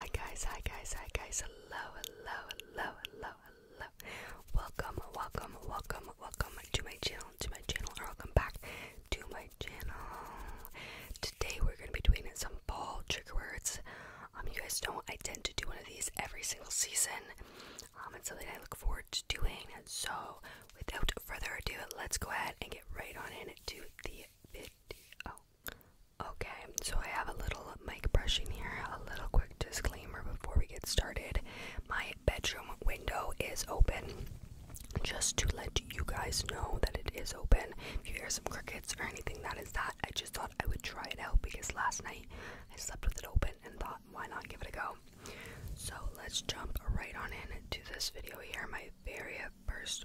Hi guys, hi guys, hi guys, hello, hello, hello, hello, hello. Welcome, welcome, welcome, welcome to my channel, to my channel, or welcome back to my channel. Today we're gonna be doing some ball trigger words. Um, you guys know I tend to do one of these every single season. Um, it's something I look forward to doing. So without further ado, let's go ahead and get right on into the video. Okay, so I have a little mic brushing here. A little quick disclaimer before we get started. My bedroom window is open. Just to let you guys know that it is open. If you hear some crickets or anything, that is that. I just thought I would try it out because last night I slept with it open and thought, why not give it a go? So let's jump right on in to this video here. My very first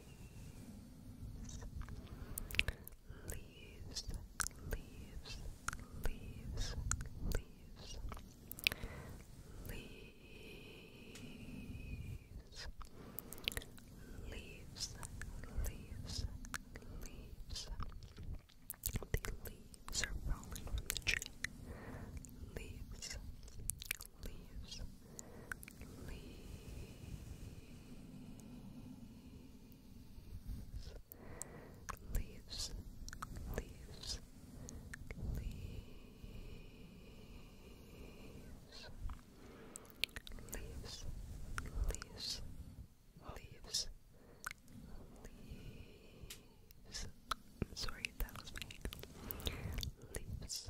leaves, leaves, leaves, leaves, leaves, leaves, leaves, leaves. The leaves are falling from the tree. Leaves, leaves, leaves, leaves, leaves. Leaves, leaves, leaves, leaves. i sorry, that was my Leaves,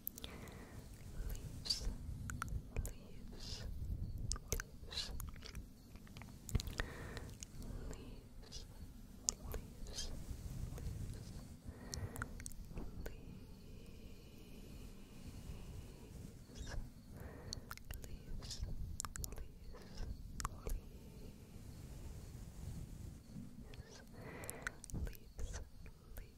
leaves, leaves, leaves. Leaves, leaves, leaves, leaves, leaves, leaves,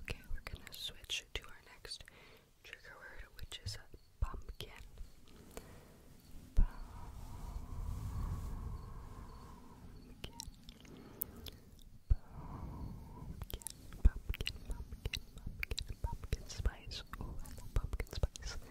Okay, we're gonna switch to our next trigger word, which is a pumpkin. Pumpkin. Pumpkin, pumpkin, pumpkin, pumpkin, pumpkin spice. Oh, pumpkin spice. Pumpkin,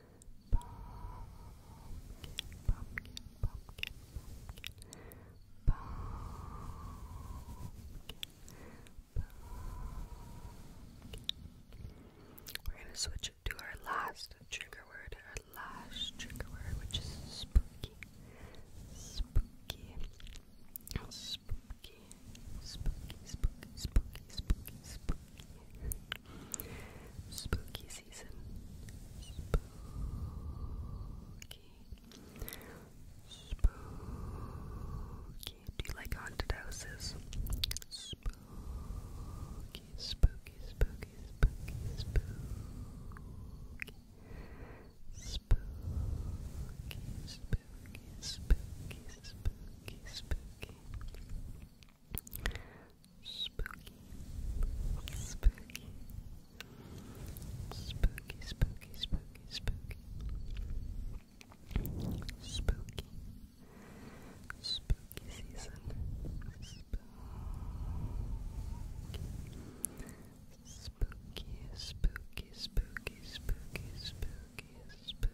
we're going to switch to our last trigger word, our last trigger word, which is spooky. Spooky. Spooky. Spooky, spooky, spooky, spooky, spooky. Spooky season. Spooky. Spooky. Do you like haunted houses? Spooky, spooky, spooky, spooky, spooky. Spooky, spooky, spooky, spooky, spooky. Spooky, spooky, spooky, spooky, spooky, spooky, spooky, spooky season, spooky, spooky, spooky, spooky, spooky, spooky, spooky.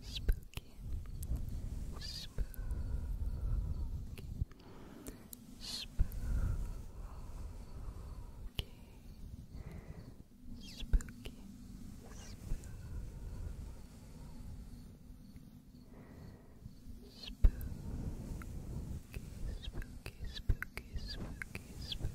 Spooky, spooky, spooky, spooky, spooky, spooky, spooky, spooky, spooky, spooky, spooky,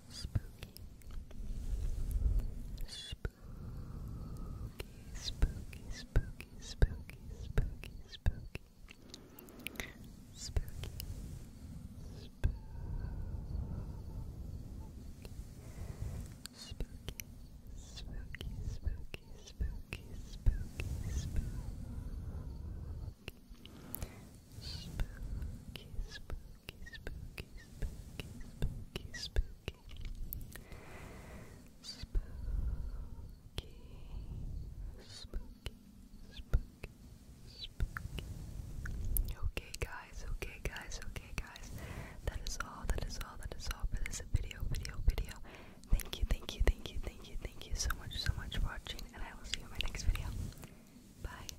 Spooky. Spooky, spooky, spooky, spooky, spooky, spooky. Spooky. Spooky. Spooky. Spooky, spooky, spooky, spooky, spooky spooky, spooky, spooky, spooky. Spooky, spooky, spooky, spooky. Okay, guys, okay, guys, okay, guys. That is all, that is all, that is all for this video, video, video. Thank you, thank you, thank you, thank you, thank you so much, so much for watching, and I will see you in my next video. Bye.